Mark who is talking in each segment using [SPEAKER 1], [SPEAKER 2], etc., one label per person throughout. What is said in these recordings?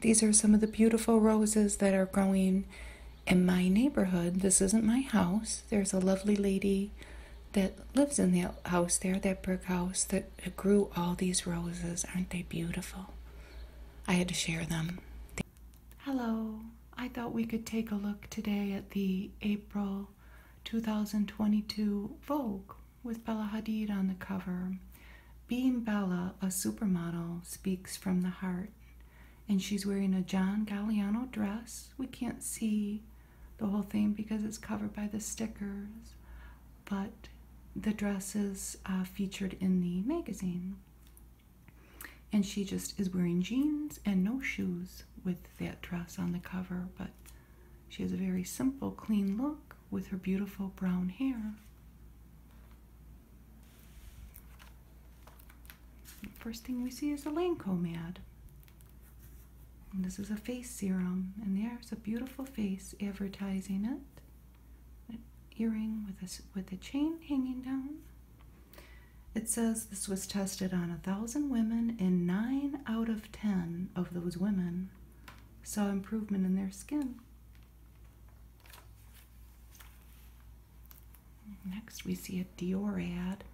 [SPEAKER 1] These are some of the beautiful roses that are growing in my neighborhood. This isn't my house. There's a lovely lady that lives in that house there, that brick house that grew all these roses. Aren't they beautiful? I had to share them. Hello. I thought we could take a look today at the April 2022 Vogue with Bella Hadid on the cover. Being Bella, a supermodel, speaks from the heart. And she's wearing a John Galliano dress. We can't see the whole thing because it's covered by the stickers, but the dress is uh, featured in the magazine. And she just is wearing jeans and no shoes with that dress on the cover, but she has a very simple, clean look with her beautiful brown hair. First thing we see is a Lancome ad. this is a face serum, and there's a beautiful face advertising it. An earring with a, with a chain hanging down. It says this was tested on a thousand women, and nine out of ten of those women saw improvement in their skin. Next, we see a Dior ad.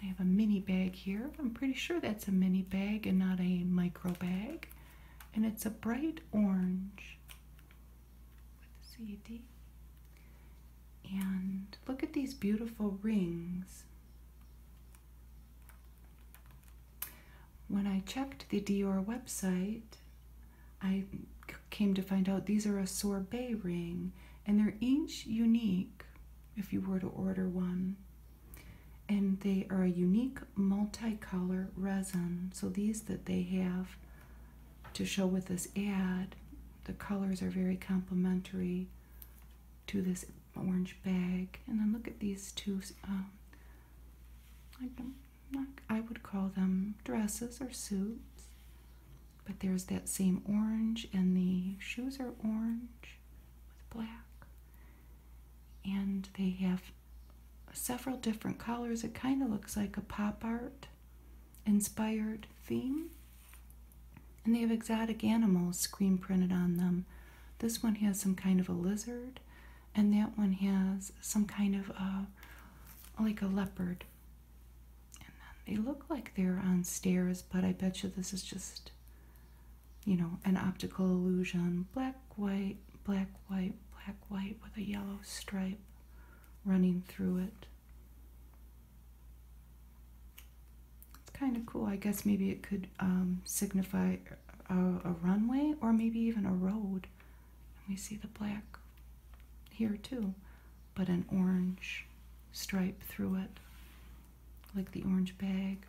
[SPEAKER 1] They have a mini bag here. I'm pretty sure that's a mini bag and not a micro bag. And it's a bright orange with CD. And look at these beautiful rings. When I checked the Dior website, I came to find out these are a sorbet ring and they're each unique if you were to order one. And they are a unique multicolor resin. So these that they have to show with this ad, the colors are very complementary to this orange bag. And then look at these two um, I would call them dresses or suits. But there's that same orange, and the shoes are orange with black. And they have several different colors. It kind of looks like a pop art inspired theme. And they have exotic animals screen printed on them. This one has some kind of a lizard, and that one has some kind of a like a leopard. they look like they're on stairs, but I bet you this is just you know, an optical illusion. Black, white, black, white, black, white with a yellow stripe running through it. It's kind of cool. I guess maybe it could um, signify a, runway or maybe even a road. we see the black here too, but an orange stripe through it, like the orange bag.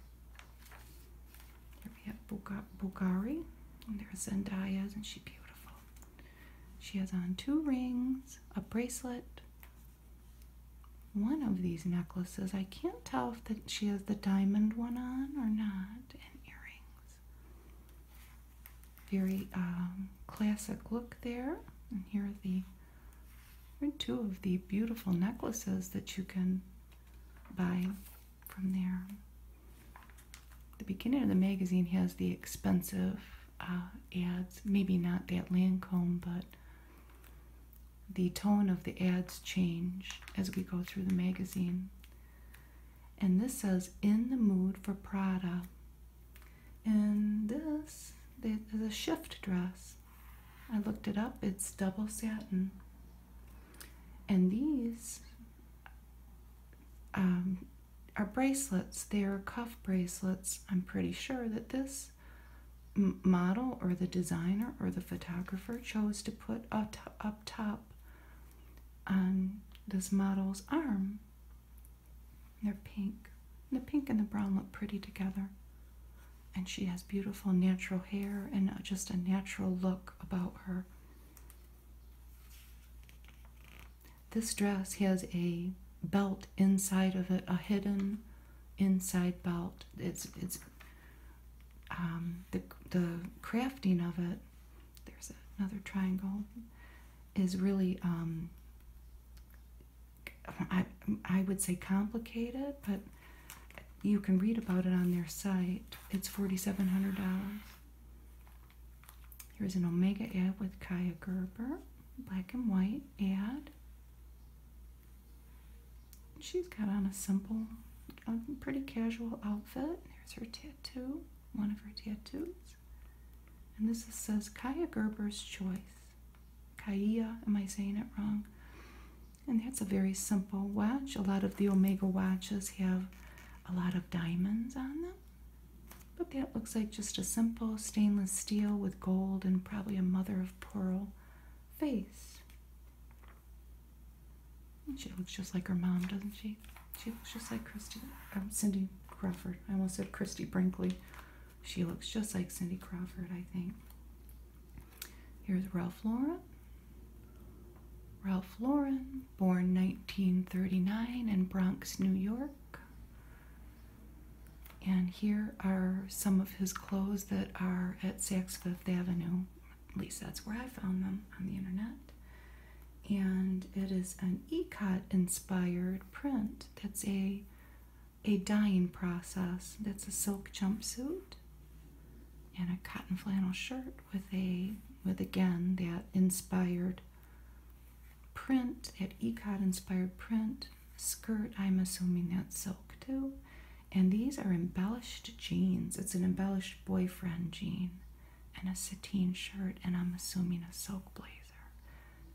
[SPEAKER 1] Here we have Bulgari, and there's Zendaya, isn't she beautiful? She has on two rings, a bracelet, one of these necklaces. I can't tell if that she has the diamond one on or not, and earrings. Very um, classic look there. And here are the here two of the beautiful necklaces that you can buy from there. The beginning of the magazine has the expensive uh, ads, maybe not that Lancome, but the tone of the ads change as we go through the magazine. And this says, in the mood for Prada. And this is a shift dress. I looked it up, it's double satin. And these um, are bracelets, they are cuff bracelets. I'm pretty sure that this model or the designer or the photographer chose to put a, a top on this model's arm. They're pink. The pink and the brown look pretty together. And she has beautiful natural hair and uh, just a natural look about her. This dress has a belt inside of it, a hidden inside belt. It's it's um, the, the crafting of it, there's another triangle, is really, um, I, I would say complicated, but you can read about it on their site. It's $4,700. Here's an Omega ad with Kaya Gerber, black and white ad. She's got on a simple, pretty casual outfit. There's her tattoo, one of her tattoos. And this says Kaya Gerber's Choice. Kaya, am I saying it wrong? And that's a very simple watch. A lot of the Omega watches have a lot of diamonds on them. But that looks like just a simple stainless steel with gold and probably a mother of pearl face. She looks just like her mom, doesn't she? She looks just like Christy, um, Cindy Crawford. I almost said Christy Brinkley. She looks just like Cindy Crawford, I think. Here's Ralph Lauren. Ralph Lauren, born 1939 in Bronx, New York. And here are some of his clothes that are at Saks Fifth Avenue at least that's where I found them on the internet. And it is an ECOT inspired print. That's a a dyeing process. That's a silk jumpsuit and a cotton flannel shirt with a with again that inspired print, that ECOT inspired print skirt. I'm assuming that's silk too. And these are embellished jeans. It's an embellished boyfriend jean and a sateen shirt, and I'm assuming a silk blazer.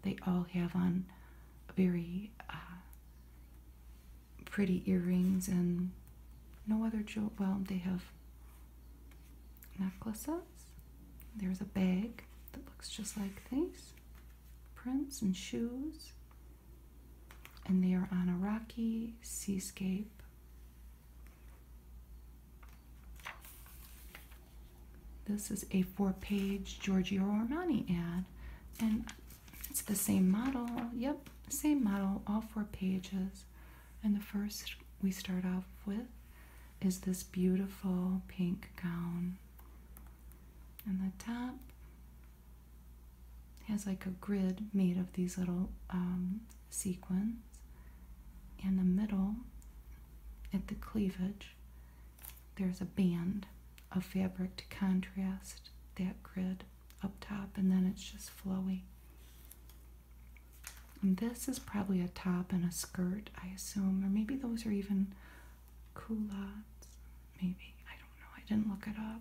[SPEAKER 1] They all have on very uh, pretty earrings and no other jewel. Well, they have necklaces. There's a bag that looks just like these prints and shoes and they are on a rocky seascape. This is a four page Giorgio Armani ad, and it's the same model. Yep, same model, all four pages. And the first we start off with is this beautiful pink gown. And the top it has like a grid made of these little um, sequins. In the middle, at the cleavage, there's a band of fabric to contrast that grid up top, and then it's just flowy. And this is probably a top and a skirt, I assume, or maybe those are even culottes. Maybe I don't know. I didn't look it up.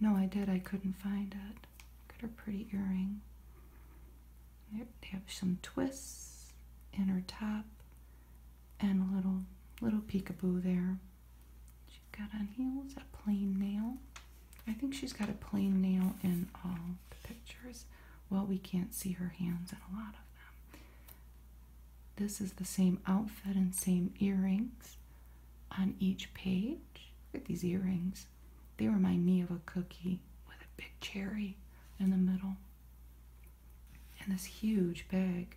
[SPEAKER 1] No, I did. I couldn't find it. Look at her pretty earring. They have some twists in her top and a little little peekaboo there. She's got on heels, a plain nail. I think she's got a plain nail in all the pictures. Well, we can't see her hands in a lot of them. This is the same outfit and same earrings on each page. Look at these earrings. They remind me of a cookie with a big cherry in the middle. And this huge bag.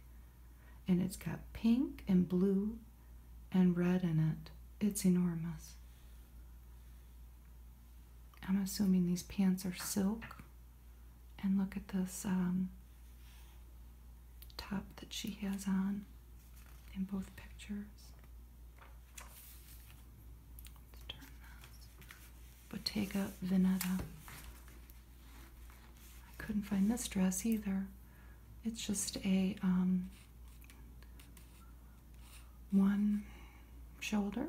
[SPEAKER 1] And it's got pink and blue and red in it. It's enormous. I'm assuming these pants are silk. And look at this um, top that she has on in both pictures. Bottega Veneta. I couldn't find this dress either. It's just a um, one shoulder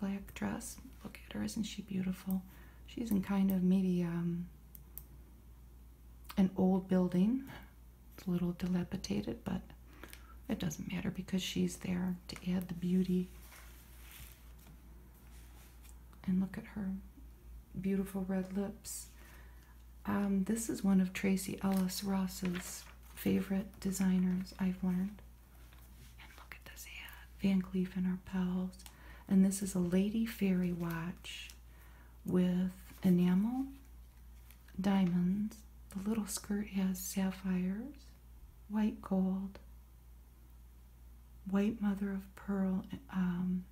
[SPEAKER 1] black dress. Look at her, isn't she beautiful? She's in kind of maybe um, an old building. It's a little dilapidated, but it doesn't matter because she's there to add the beauty. And look at her beautiful red lips. Um, this is one of Tracy Ellis Ross's favorite designers, I've learned. And look at this hat, Van Cleef and Arpels. And this is a Lady Fairy watch with enamel diamonds. The little skirt has sapphires, white gold, white mother of pearl. Um,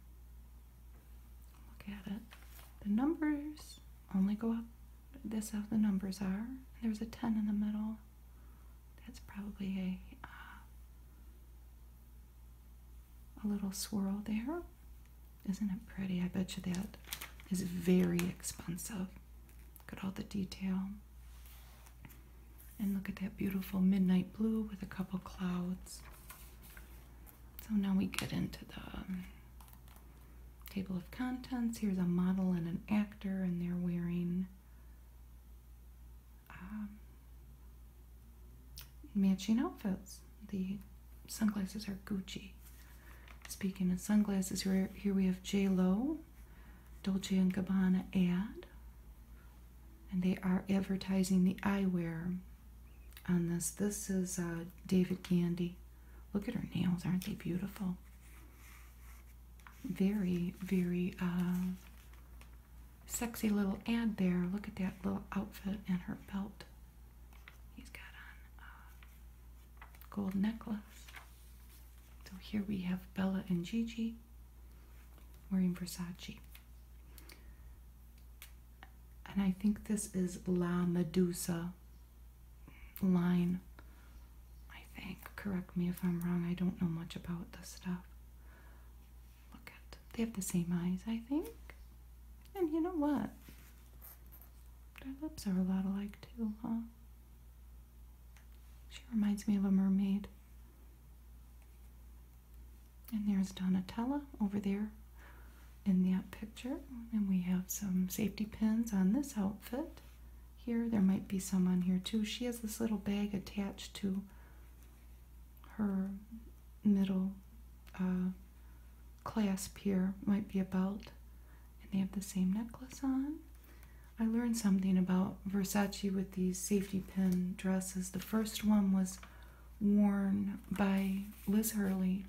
[SPEAKER 1] look at it. The numbers only go up. This how the numbers are. There's a 10 in the middle. That's probably a, uh, a little swirl there. Isn't it pretty? I bet you that is very expensive. Look at all the detail. And look at that beautiful midnight blue with a couple clouds. So now we get into the um, table of contents. Here's a model and an actor, and they're wearing um, matching outfits. The sunglasses are Gucci. Speaking of sunglasses, here, here we have J. Lo, Dolce & Gabbana ad. And they are advertising the eyewear on this. This is uh, David Gandy. Look at her nails. Aren't they beautiful? Very, very uh, sexy little ad there. Look at that little outfit and her belt. He's got a gold necklace. So here we have Bella and Gigi wearing Versace. And I think this is La Medusa line. I think. Correct me if I'm wrong. I don't know much about this stuff. Look at. They have the same eyes, I think. And you know what? Their lips are a lot alike, too, huh? She reminds me of a mermaid. And there's Donatella over there in that picture. And we have some safety pins on this outfit. Here, there might be some on here too. She has this little bag attached to her middle uh, clasp here might be a belt, and they have the same necklace on. I learned something about Versace with these safety pin dresses. The first one was worn by Liz Hurley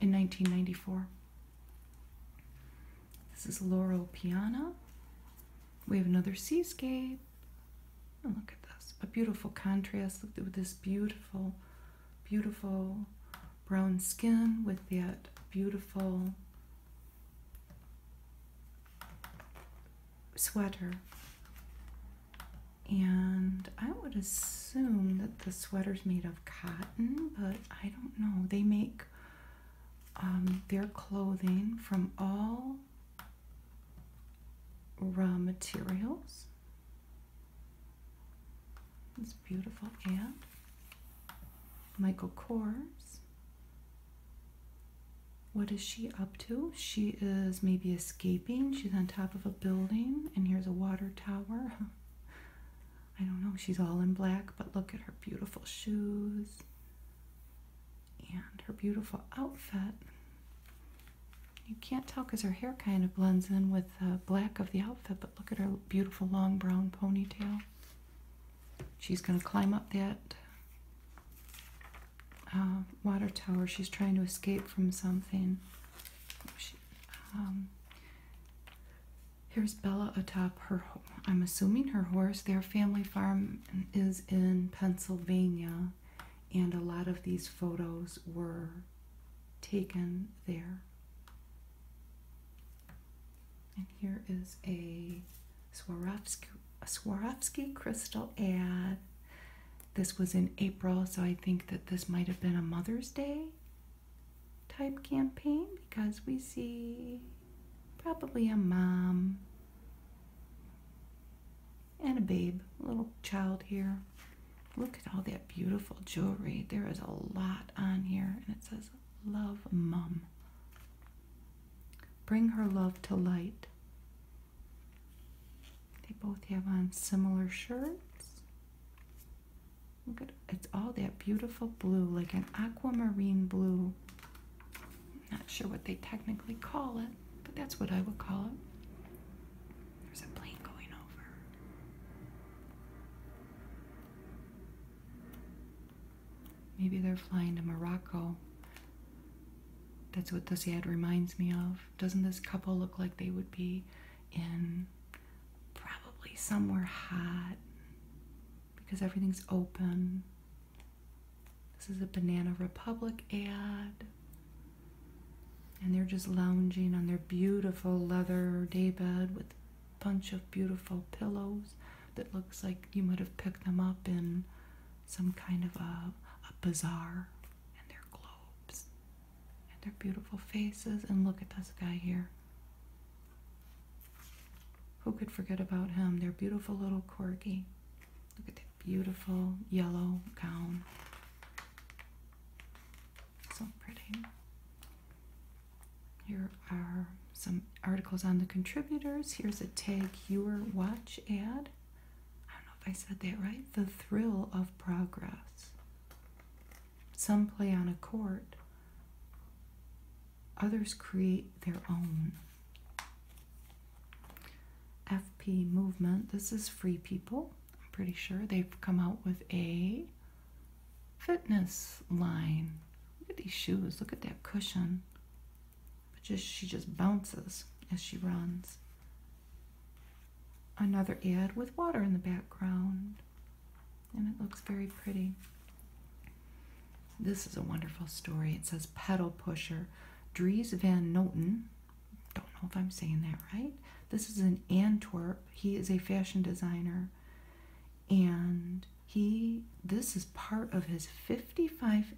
[SPEAKER 1] in 1994. This is Laurel Piana. We have another seascape. And look at this, a beautiful contrast with this beautiful beautiful brown skin with that beautiful sweater. And I would assume that the sweater's made of cotton, but I don't know. They make um, their clothing from all raw materials. It's beautiful And Michael Kors. What is she up to? She is maybe escaping. She's on top of a building, and here's a water tower. I don't know. She's all in black, but look at her beautiful shoes and her beautiful outfit. You can't tell because her hair kind of blends in with the black of the outfit, but look at her beautiful long brown ponytail. She's going to climb up that uh, water tower. She's trying to escape from something. Um, here's Bella atop her, I'm assuming her horse. Their family farm is in Pennsylvania, and a lot of these photos were taken there. And here is a Swarovski, Swarovski crystal ad. This was in April, so I think that this might have been a Mother's Day type campaign because we see probably a mom and a babe, little child here. Look at all that beautiful jewelry. There is a lot on here, and it says, Love Mum. Bring her love to light. They both have on similar shirts. Look at it's all that beautiful blue, like an aquamarine blue. not sure what they technically call it, but that's what I would call it. There's a plane going over. Maybe they're flying to Morocco. That's what this ad reminds me of. Doesn't this couple look like they would be in probably somewhere hot because everything's open? This is a Banana Republic ad. And they're just lounging on their beautiful leather daybed with a bunch of beautiful pillows that looks like you might have picked them up in some kind of a, a bazaar. And their globes. And their beautiful faces. And look at this guy here. Who could forget about him? Their beautiful little corgi. Look at that beautiful yellow gown. So pretty. Here are some articles on the contributors. Here's a Tag Heuer watch ad. I don't know if I said that right. The thrill of progress. Some play on a court, others create their own. FP movement. This is Free People. I'm pretty sure they've come out with a fitness line. Look at these shoes. Look at that cushion. But just she just bounces as she runs. Another ad with water in the background. And it looks very pretty. This is a wonderful story. It says pedal pusher. Dries Van Noten. Don't know if I'm saying that right. This is an Antwerp, he is a fashion designer. And he, this is part of his 55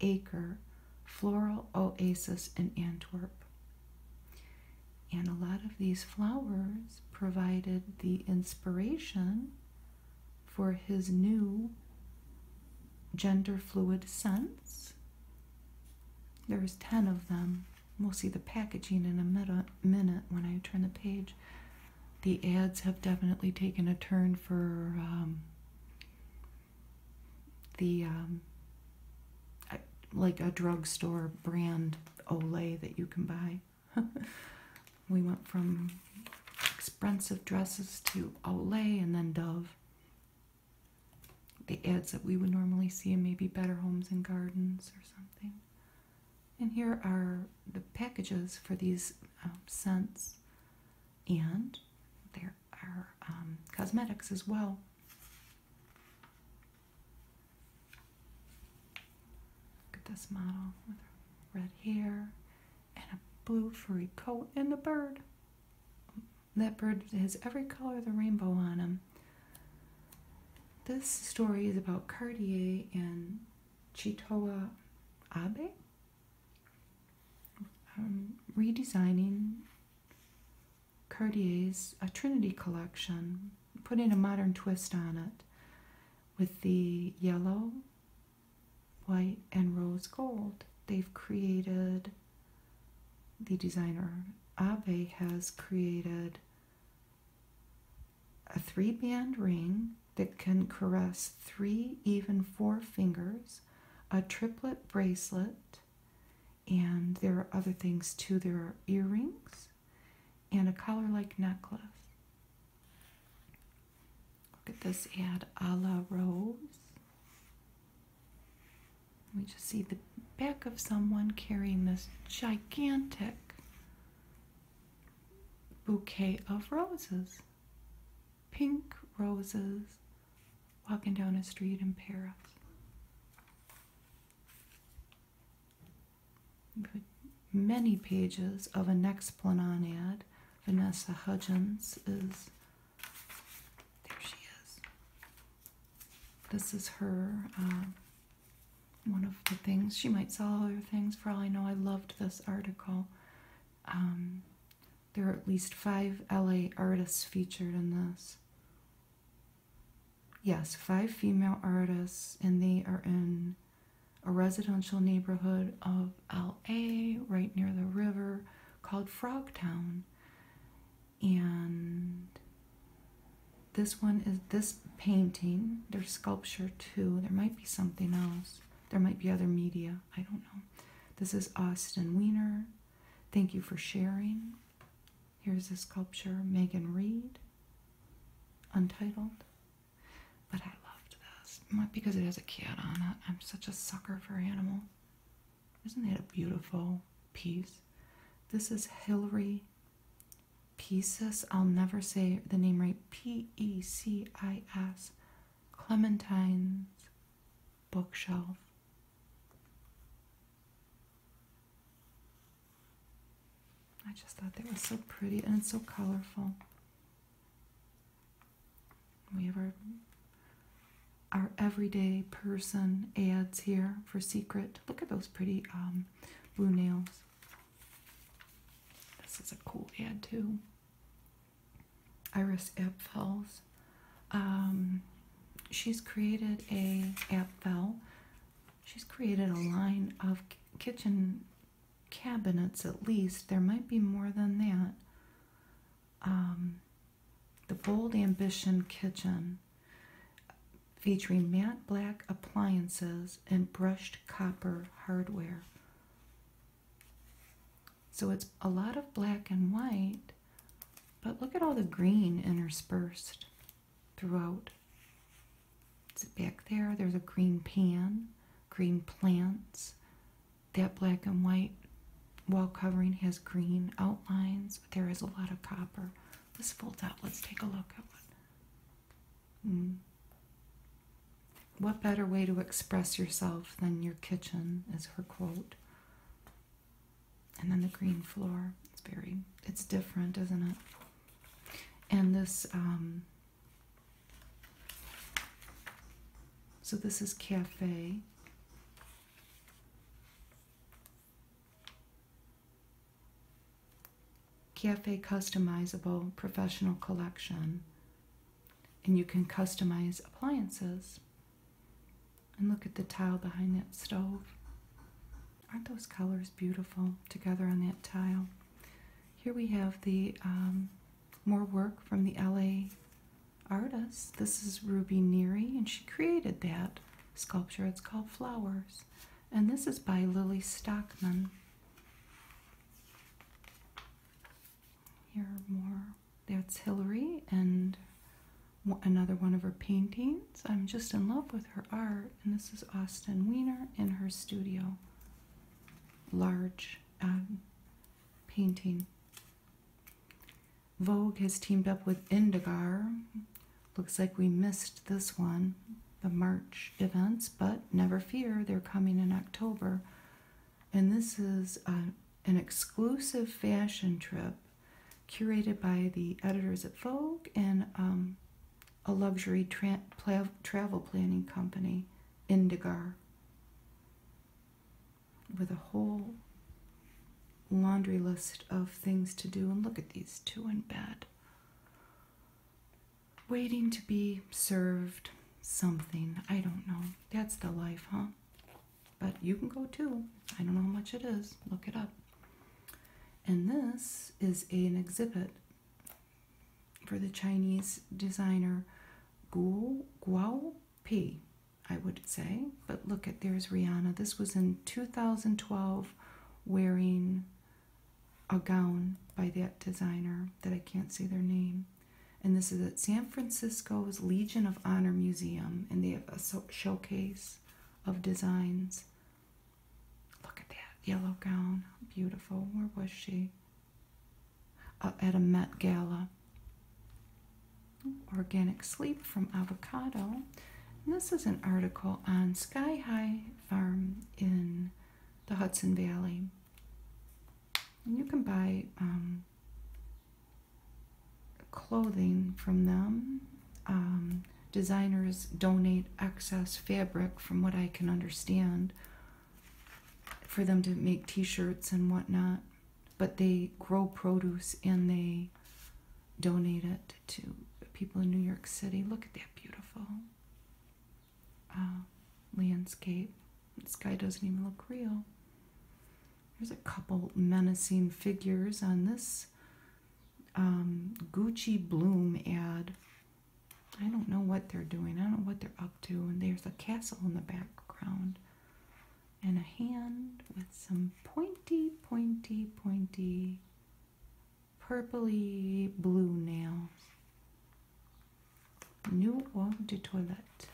[SPEAKER 1] acre floral oasis in Antwerp. And a lot of these flowers provided the inspiration for his new gender fluid scents. There's 10 of them. We'll see the packaging in a minute when I turn the page. The ads have definitely taken a turn for um, the um, like a drugstore brand Olay that you can buy. we went from expensive dresses to Olay and then Dove the ads that we would normally see in maybe Better Homes and Gardens or something. And here are the packages for these um, scents, and there are um, cosmetics as well. Look at this model with red hair and a blue furry coat and the bird. That bird has every color of the rainbow on him this story is about Cartier and Chitoa Abe um, redesigning Cartier's a Trinity collection, putting a modern twist on it with the yellow, white, and rose gold. They've created, the designer Abe has created a three band ring that can caress three, even four fingers, a triplet bracelet, and there are other things too. There are earrings and a collar like necklace. Look at this ad a la rose we just see the back of someone carrying this gigantic bouquet of roses, pink roses, walking down a street in Paris. Many pages of an Explanon ad. Vanessa Hudgens is there she is. This is her uh, one of the things she might sell other things for all I know. I loved this article. Um, there are at least five LA artists featured in this. Yes, five female artists, and they are in a residential neighborhood of LA right near the river called Frogtown and this one is this painting there's sculpture too there might be something else there might be other media i don't know this is austin weiner thank you for sharing here's a sculpture megan reed untitled but i loved this not because it has a cat on it i'm such a sucker for animal isn't that a beautiful piece this is hillary Pisces, I'll never say the name right, P E C I S, Clementine's bookshelf. I just thought that was so pretty and it's so colorful. We have our, our everyday person ads here for secret Look at those pretty um, blue nails. This is a cool ad too. Iris Apfel's. Um, she's created a Apfel. She's created a line of kitchen cabinets at least. There might be more than that. Um, the Bold Ambition Kitchen featuring matte black appliances and brushed copper hardware. So it's a lot of black and white, but look at all the green interspersed throughout. It's back there, there's a green pan, green plants. That black and white wall covering has green outlines, there is a lot of copper. This folds out. Let's take a look at one. Hmm. What better way to express yourself than your kitchen is her quote. And then the green floor. It's very, it's different, isn't it? And this, um, so this is cafe. Cafe customizable professional collection. And you can customize appliances. And look at the tile behind that stove. Aren't those colors beautiful together on that tile? Here we have the um, more work from the LA artist. This is Ruby Neary, and she created that sculpture. It's called Flowers. And this is by Lily Stockman. Here are more. That's Hillary and another one of her paintings. I'm just in love with her art. And this is Austin Weiner in her studio. Large um, painting. Vogue has teamed up with Indigar Looks like we missed this one, the March events, but never fear, they're coming in October. And this is uh, an exclusive fashion trip curated by the editors at Vogue and um, a luxury travel planning company, Indigar, with a whole laundry list of things to do, and look at these two in bed. Waiting to be served something. I don't know. That's the life, huh? But you can go too. I don't know how much it is. Look it up. And this is an exhibit for the Chinese designer Guo, Guo P, I would say. But look at there's Rihanna. This was in 2012 wearing a gown by that designer that I can't say their name. And this is at San Francisco's Legion of Honor Museum, and they have a showcase of designs. Look at that yellow gown. Beautiful. Where was she? Uh, at a Met Gala. Organic sleep from avocado this is an article on Sky High Farm in the Hudson Valley. And you can buy um, clothing from them. Um, designers donate excess fabric, from what I can understand, for them to make t shirts and whatnot. But they grow produce and they donate it to people in New York City. Look at that beautiful um, landscape. The sky doesn't even look real. There's a couple menacing figures on this um, Gucci Bloom ad. I don't know what they're doing. I don't know what they're up to. And there's a castle in the background. And a hand with some pointy, pointy, pointy purpley blue nails. New eau de toilette.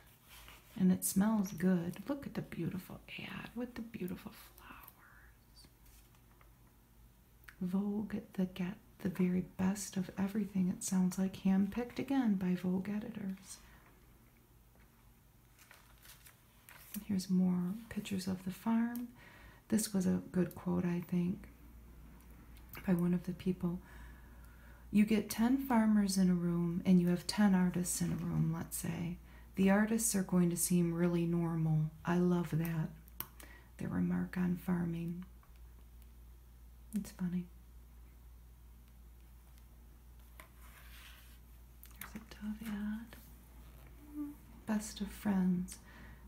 [SPEAKER 1] And it smells good. Look at the beautiful ad with the beautiful flowers. Vogue the get the very best of everything. It sounds like handpicked again by Vogue editors. Here's more pictures of the farm. This was a good quote, I think, by one of the people. You get 10 farmers in a room and you have 10 artists in a room, let's say. The artists are going to seem really normal. I love that. Their remark on farming. It's funny. Here's a dove best of friends.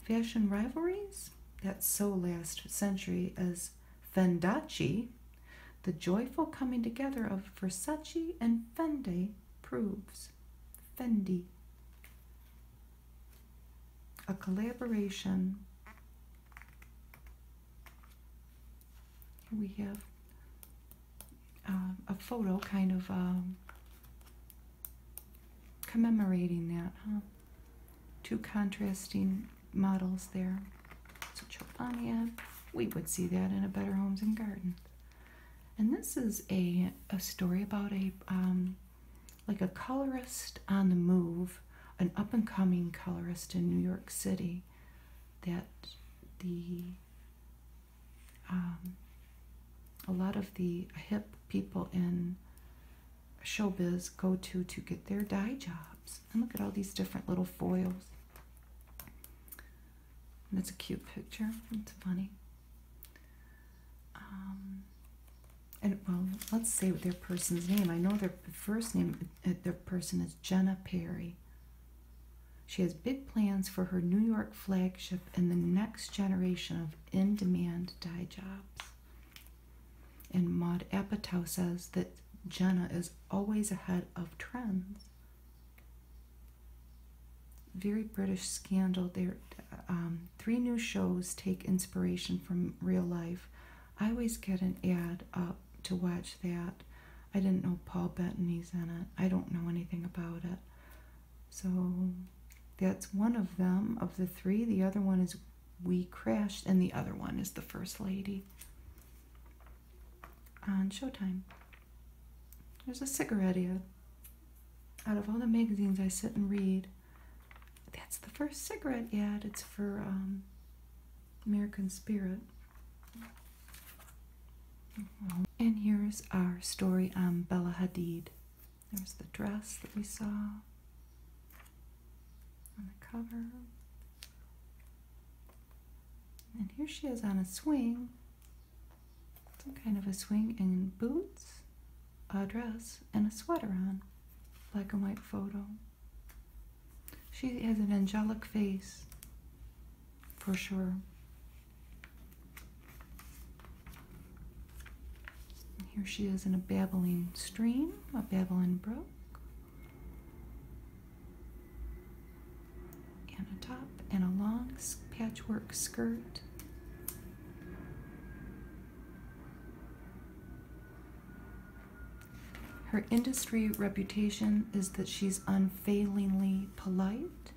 [SPEAKER 1] Fashion rivalries? That's so last century as Fendi, the joyful coming together of Versace and Fendi proves. Fendi. A collaboration. we have uh, a photo, kind of um, commemorating that, huh? Two contrasting models there. So Chobania, we would see that in a Better Homes and Gardens. And this is a, a story about a, um, like a colorist on the move, an up and coming colorist in New York City that the um, a lot of the hip people in showbiz go to to get their dye jobs. And look at all these different little foils. that's a cute picture. It's funny. Um, and well, let's say their person's name. I know their first name, uh, their person is Jenna Perry. She has big plans for her New York flagship and the next generation of in demand dye jobs. And Maud Apatow says that Jenna is always ahead of trends. Very British scandal. There, um, three new shows take inspiration from real life. I always get an ad up to watch that. I didn't know Paul Bettany's in it. I don't know anything about it. So that's one of them, of the three. The other one is We Crashed, and the other one is The First Lady on Showtime. There's a cigarette ad. Out of all the magazines I sit and read, that's the first cigarette yet. It's for um, American Spirit. And here's our story on Bella Hadid. There's the dress that we saw on the cover. And here she is on a swing, some kind of a swing, in boots, a dress, and a sweater on. Black and white photo. She has an angelic face, for sure here she is in a babbling stream, a babbling brook. And a top and a long patchwork skirt. Her industry reputation is that she's unfailingly polite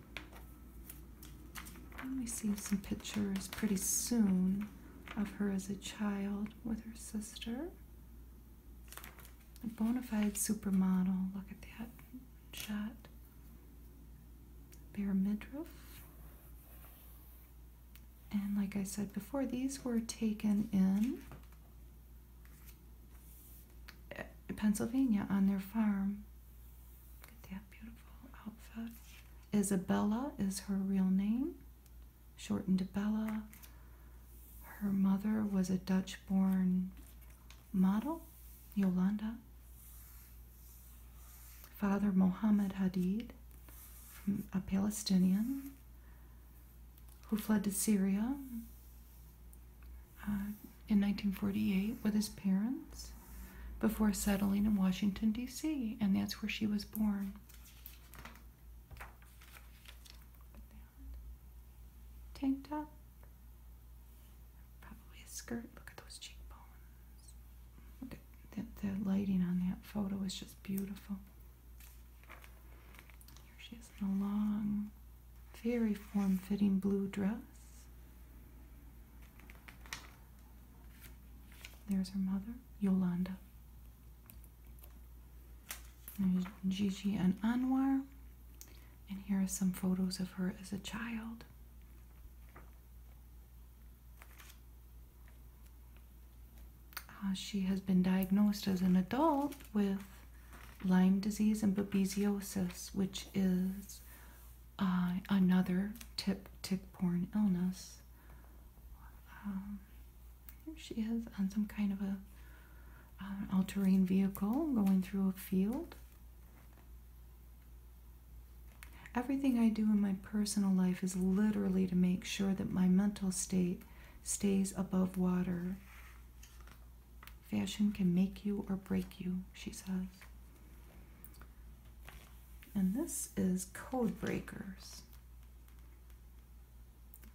[SPEAKER 1] I'll receive some pictures pretty soon of her as a child with her sister. A bona fide supermodel. Look at that shot. Bare midriff. And like I said before, these were taken in eh, Pennsylvania on their farm. Isabella is her real name, shortened to Bella. Her mother was a Dutch born model, Yolanda. Father Mohammed Hadid, a Palestinian who fled to Syria. Uh, in 1948 with his parents before settling in Washington, D.C., and that's where she was born. Tank top, probably a skirt. Look at those cheekbones. Look at the, lighting on that photo is just beautiful. Here she is in a long, very form fitting blue dress. There's her mother, Yolanda. There's Gigi and Anwar. And here are some photos of her as a child. Uh, she has been diagnosed as an adult with Lyme disease and babesiosis, which is uh, another tip tick-borne illness. Um, she is on some kind of a uh, all-terrain vehicle going through a field. Everything I do in my personal life is literally to make sure that my mental state stays above water. Fashion can make you or break you, she says. And this is Code Breakers.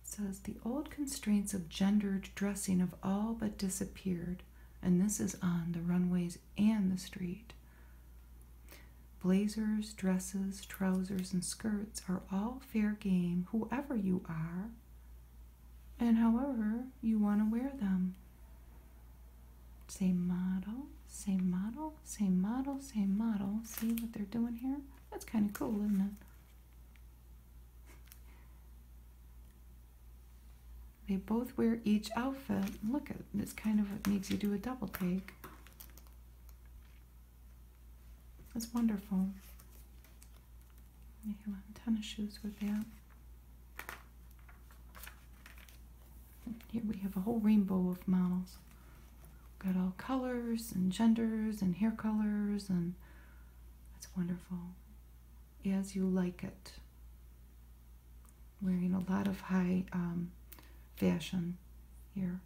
[SPEAKER 1] says the old constraints of gendered dressing have all but disappeared, and this is on the runways and the street. Blazers, dresses, trousers, and skirts are all fair game, whoever you are, and however you want to wear them. Same model, same model, same model, same model. See what they're doing here? That's kind of cool, isn't it? They both wear each outfit. Look at this kind of makes you do a double take. That's wonderful. A ton of shoes with that. Here we have a whole rainbow of models. Got all colors and genders and hair colors, and that's wonderful. As you like it. Wearing a lot of high um, fashion here.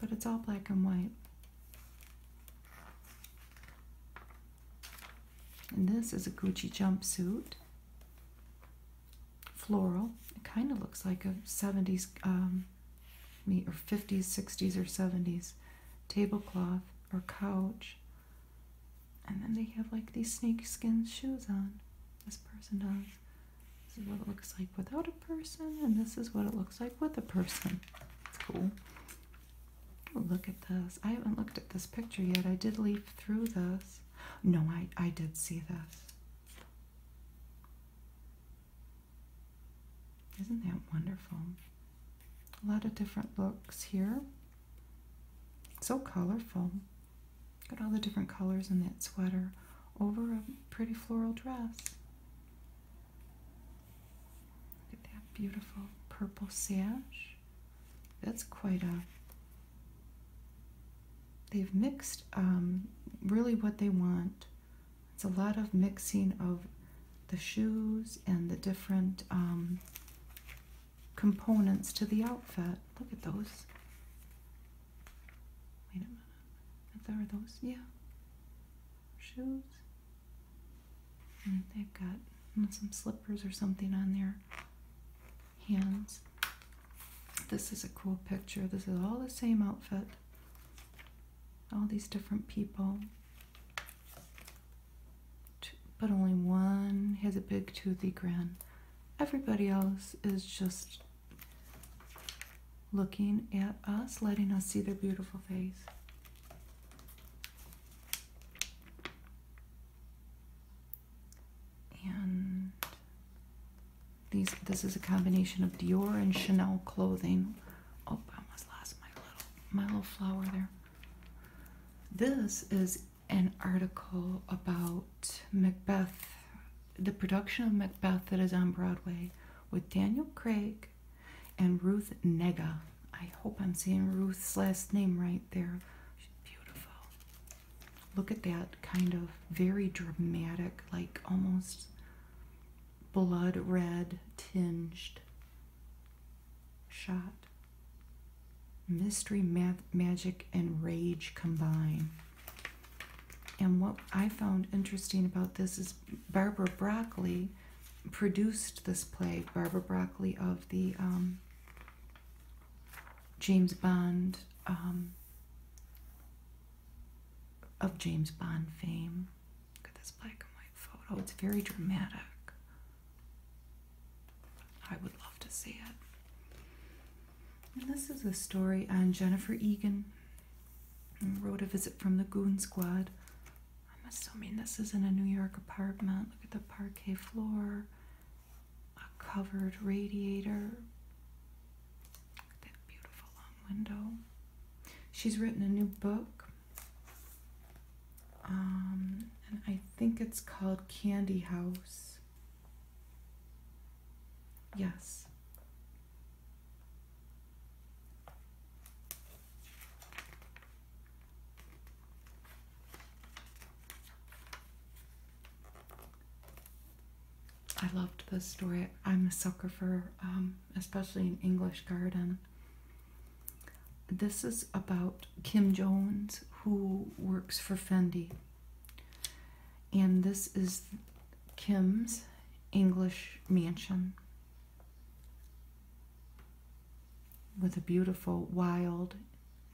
[SPEAKER 1] But it's all black and white. And this is a Gucci jumpsuit, floral. It kind of looks like a 70s, um, or 50s, 60s, or 70s tablecloth or couch. And then they have like these snakeskin shoes on. This person does. This is what it looks like without a person, and this is what it looks like with a person. It's cool. Look at this. I haven't looked at this picture yet. I did leaf through this. No, I, I did see this. Isn't that wonderful? A lot of different looks here. So colorful. Got all the different colors in that sweater over a pretty floral dress. Look at that beautiful purple sash. That's quite a. They've mixed um, really what they want. It's a lot of mixing of the shoes and the different um, components to the outfit. Look at those. Wait a minute. Are those? Yeah. Shoes they've got some slippers or something on their hands. This is a cool picture. This is all the same outfit. All these different people. But only one has a big toothy grin. Everybody else is just looking at us, letting us see their beautiful face. And these this is a combination of Dior and Chanel clothing. Oh, I almost lost my little my little flower there. This is an article about Macbeth, the production of Macbeth that is on Broadway with Daniel Craig and Ruth Nega. I hope I'm seeing Ruth's last name right there. beautiful. Look at that kind of very dramatic, like almost blood red tinged shot. Mystery, math, magic, and rage combine. And what I found interesting about this is Barbara Broccoli produced this play, Barbara Broccoli of the um, James Bond, um, of James Bond fame. Look at this black and white photo. It's very dramatic. I would love to see it. And this is a story on Jennifer Egan. Wrote a visit from the Goon Squad. I'm assuming this is in a New York apartment. Look at the parquet floor, a covered radiator. That beautiful long window. She's written a new book, um, and I think it's called Candy House. Yes. I loved this story. I'm a sucker for, um, especially an English garden. This is about Kim Jones, who works for Fendi. And this is Kim's English mansion with a beautiful, wild,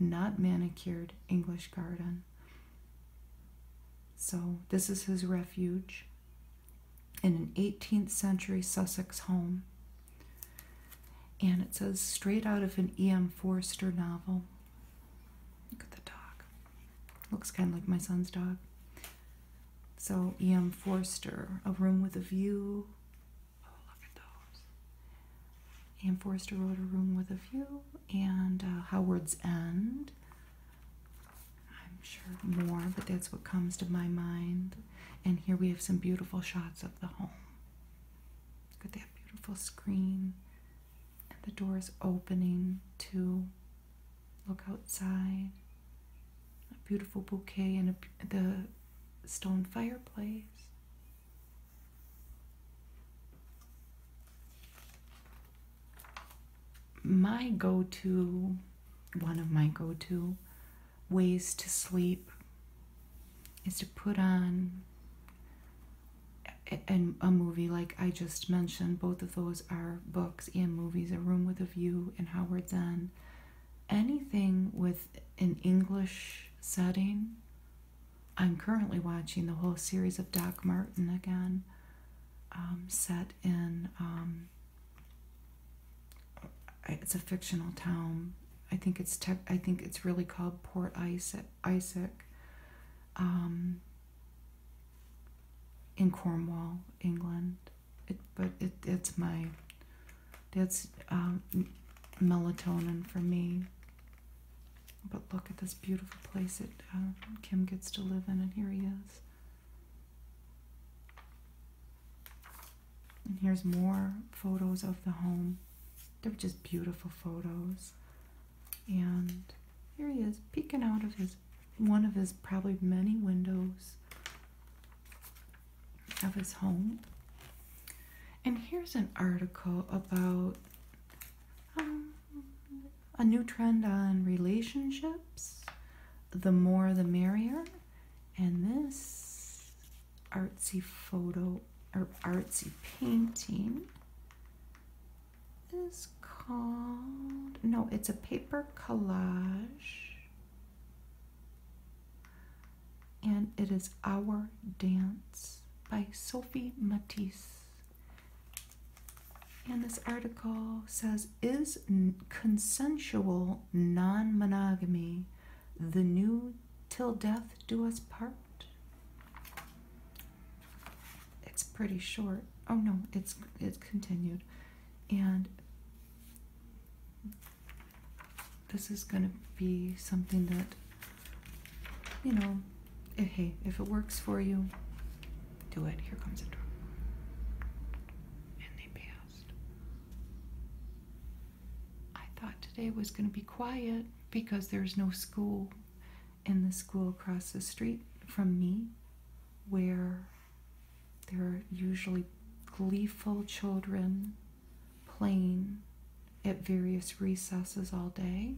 [SPEAKER 1] not manicured English garden. So, this is his refuge in an 18th century Sussex home. And it says straight out of an E.M. Forster novel. Look at the dog. Looks kind of like my son's dog. So, E.M. Forster, A Room with a View, Oh, look wrote a room with a view, and uh, Howard's End. I'm sure more, but that's what comes to my mind. And here we have some beautiful shots of the home. Look at that beautiful screen. And the door is opening to look outside. A beautiful bouquet and the stone fireplace my go to, one of my go to ways to sleep is to put on and a movie like I just mentioned. Both of those are books and movies. A Room with a View and Howard Zahn. Anything with with an English setting. I'm currently watching the whole series of Doc Martin again, um, set in. Um, it's a fictional town. I think it's I think it's really called Port Isaac, um, in Cornwall, England. but it's my that's um, melatonin for me. But look at this beautiful place that uh, Kim gets to live in, and here he is. And here's more photos of the home. They're just beautiful photos. And here he is peeking out of his one of his probably many windows of his home. And here's an article about um, a new trend on relationships the more the merrier. And this artsy photo or artsy painting is called, no, it's a paper collage and it is Our Dance by Sophie Matisse. And this article says Is consensual non monogamy the new till death do us part? It's pretty short. Oh no, it's it's continued. And this is going to be something that, you know, if, hey, if it works for you, do it. Here comes a drum. And they passed. I thought today was going to be quiet because there's no school in the school across the street from me where there are usually gleeful children playing at various recesses all day.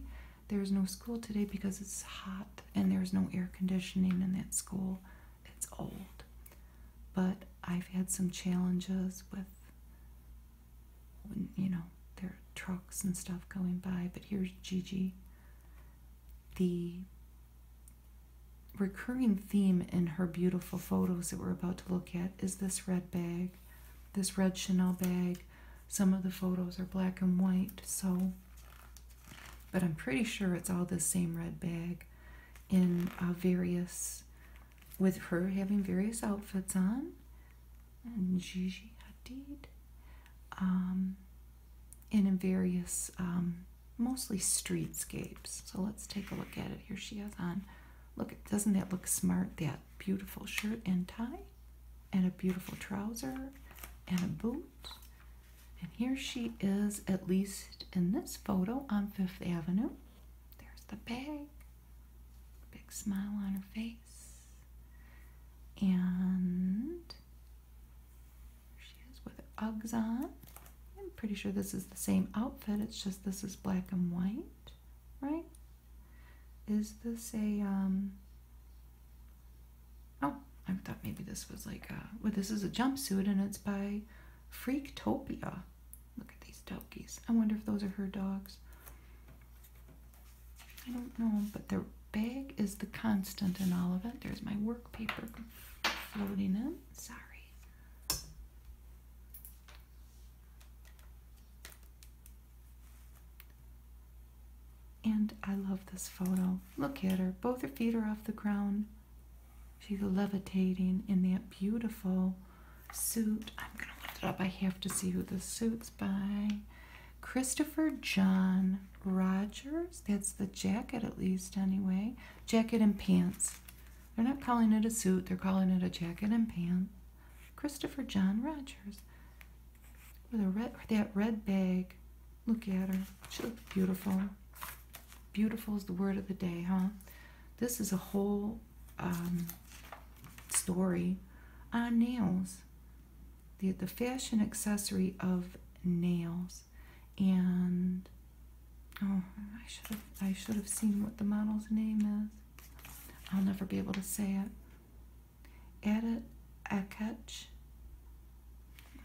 [SPEAKER 1] There's no school today because it's hot and there's no air conditioning in that school. It's old. But I've had some challenges with, you know, there are trucks and stuff going by. But here's Gigi. The recurring theme in her beautiful photos that we're about to look at is this red bag this red Chanel bag. Some of the photos are black and white, so, but I'm pretty sure it's all the same red bag in uh, various, with her having various outfits on. And Gigi Hadid. Um, in various, um, mostly streetscapes. So let's take a look at it. Here she is on. Look, doesn't that look smart? That beautiful shirt and tie, and a beautiful trouser, and a boot. And here she is, at least in this photo, on Fifth Avenue. There's the bag, big smile on her face. And she is with her Uggs on. I'm pretty sure this is the same outfit, it's just this is black and white, right? Is this a, um, oh, I thought maybe this was like a, well, this is a jumpsuit and it's by Freaktopia. Look at these doggies. I wonder if those are her dogs. I don't know, but their bag is the constant in all of it. There's my work paper floating in. Sorry. And I love this photo. Look at her. Both her feet are off the ground. She's levitating in that beautiful suit. I'm going to lift it up. I have to see who the suit's by. Christopher John Rogers. That's the jacket, at least, anyway. Jacket and pants. They're not calling it a suit, they're calling it a jacket and pants. Christopher John Rogers. With a red, that red bag. Look at her. She looks beautiful. Beautiful is the word of the day, huh? This is a whole um, story on nails. The, the fashion accessory of nails. And, oh, I should have, I should have seen what the model's name is. I'll never be able to say it. Edit Aketch.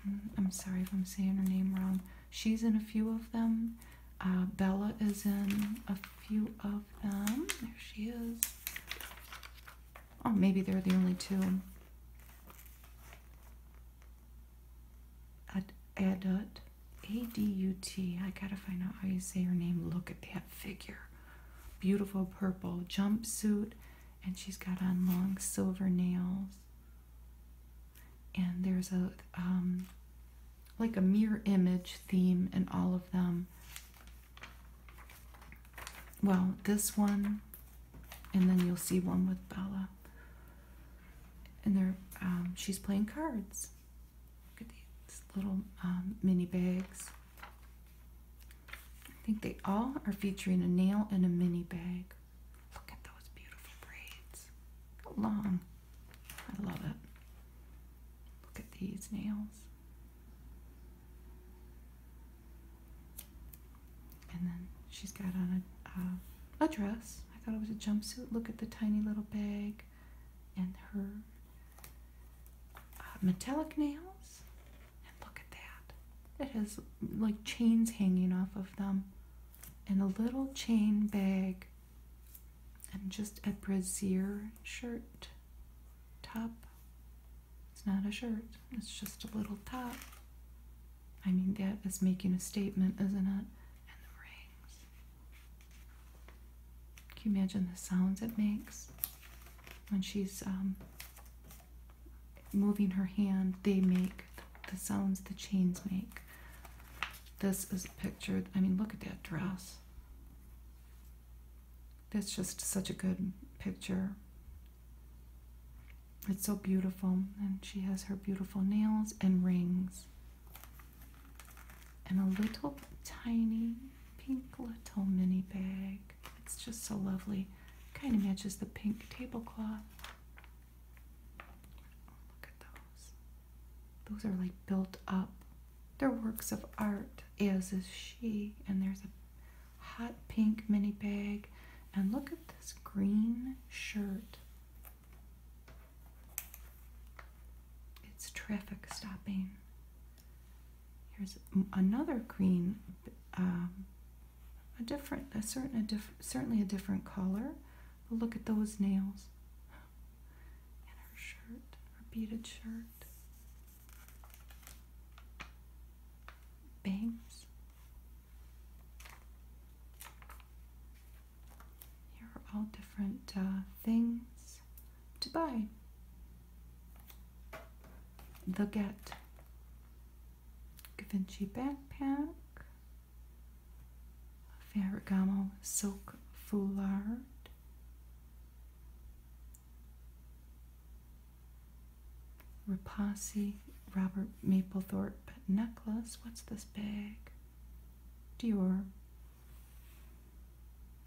[SPEAKER 1] Mm, I'm sorry if I'm saying her name wrong. She's in a few of them. Uh, Bella is in a few of them. There she is. Oh, maybe they're the only two. Ad adult. A-D-U-T. I gotta find out how you say her name. Look at that figure. Beautiful purple jumpsuit. And she's got on long silver nails. And there's a um, like a mirror image theme in all of them. Well, this one, and then you'll see one with Bella. And there, um, she's playing cards. Look at these little um, mini bags. I think they all are featuring a nail and a mini bag. Look at those beautiful braids. long. I love it. Look at these nails. And then she's got on a, uh, a dress. I thought it was a jumpsuit. Look at the tiny little bag and her uh, metallic nails. And look at that. It has like chains hanging off of them. And a little chain bag. And just a brassiere shirt top. It's not a shirt, it's just a little top. I mean, that is making a statement, isn't it? And the rings. Can you imagine the sounds it makes when she's um, moving her hand? They make the sounds the chains make. This is a picture. I mean, look at that dress. It's just such a good picture. It's so beautiful. And she has her beautiful nails and rings and a little tiny pink little mini bag. It's just so lovely. Kind of matches the pink tablecloth. Look at those. Those are like built up. They're works of art, as is she. And there's a hot pink mini bag. And look at this green shirt. It's traffic stopping. Here's another green, um, a different, a certain, a different, certainly a different color. But look at those nails. And her shirt, her beaded shirt. Bangs. Here are all different uh, things to buy the Get Givenchy backpack, Ferragamo silk foulard, Rapasi Robert Mapplethorpe necklace. What's this bag? Dior.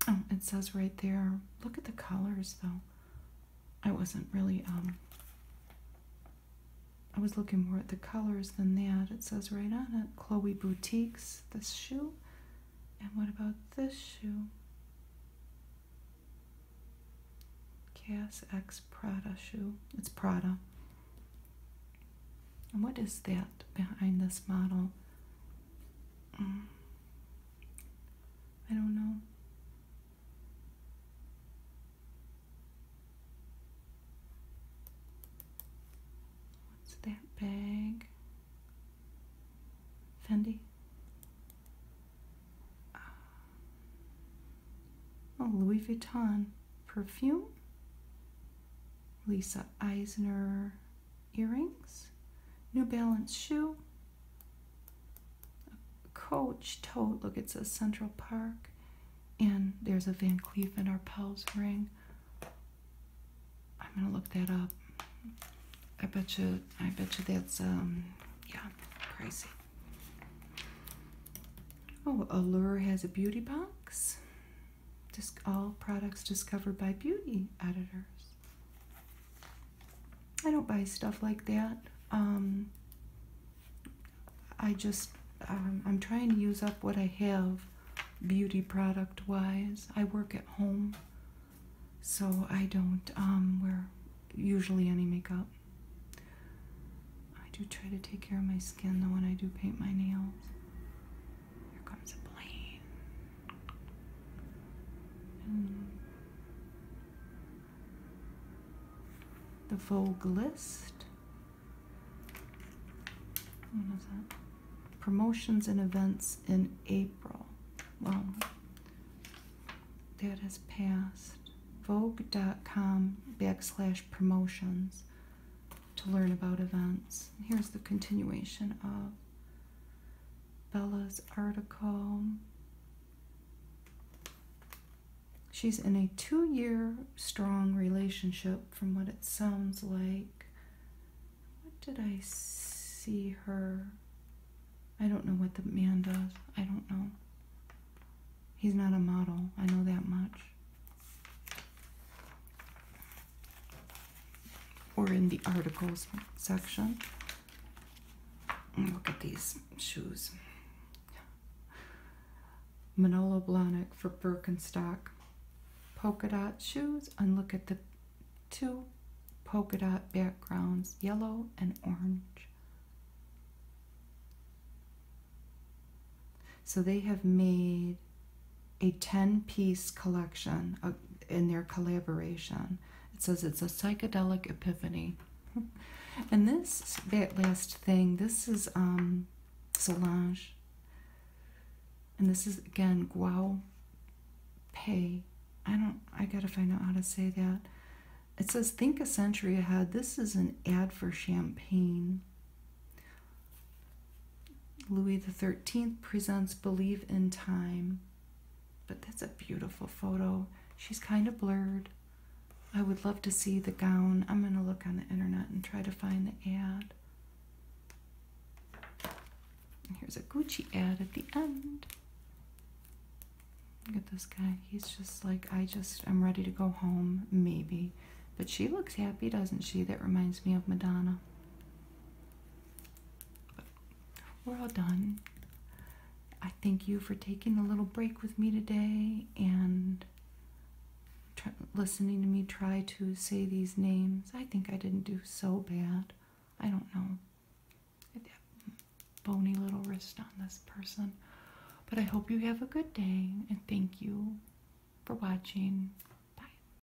[SPEAKER 1] Oh, it says right there. Look at the colors, though. I wasn't really, um, I was looking more at the colors than that. It says right on it, Chloe Boutiques, this shoe. And what about this shoe? Cass X Prada shoe. It's Prada. And what is that behind this model? I don't know. What's that bag? Fendi? Ah. oh, Louis Vuitton perfume? Lisa Eisner, earrings, New Balance shoe, Coach tote, look it says Central Park, and there's a Van Cleef and Arpels ring. I'm gonna look that up. I bet you, I bet you that's, um, yeah, crazy. Oh, Allure has a beauty box all products discovered by beauty editors. I don't buy stuff like that. Um, I just, um, I'm trying to use up what I have beauty product wise. I work at home, so I don't um, wear usually any makeup. I do try to take care of my skin though when I do paint my nails. Here comes a plane. And the Vogelist. What is that? Promotions and events in April. Well, that has passed. Vogue.com backslash promotions to learn about events. Here's the continuation of Bella's article. She's in a two year strong relationship, from what it sounds like. What did I see her? I don't know what the man does. I don't know. He's not a model. I know that much or in the articles section. look at these shoes. Manolo Blahnik for Birkenstock polka dot shoes and look at the two polka dot backgrounds, yellow and orange. So they have made a 10 piece collection in their collaboration. It says it's a psychedelic epiphany. and this last thing, this is um, Solange. And this is again Guao Pay. I don't, I gotta find out how to say that. It says, think a century ahead. This is an ad for champagne. Louis XIII presents Believe in Time. But that's a beautiful photo. She's kind of blurred. I would love to see the gown. I'm going to look on the internet and try to find the ad. here's a Gucci ad at the end. Look at this guy. He's just like, I just, I'm ready to go home, maybe. But she looks happy, doesn't she? That reminds me of Madonna we're all done. I thank you for taking a little break with me today and listening to me try to say these names. I think I didn't do so bad. I don't know. bony little wrist on this person. But I hope you have a good day and thank you for watching. Bye.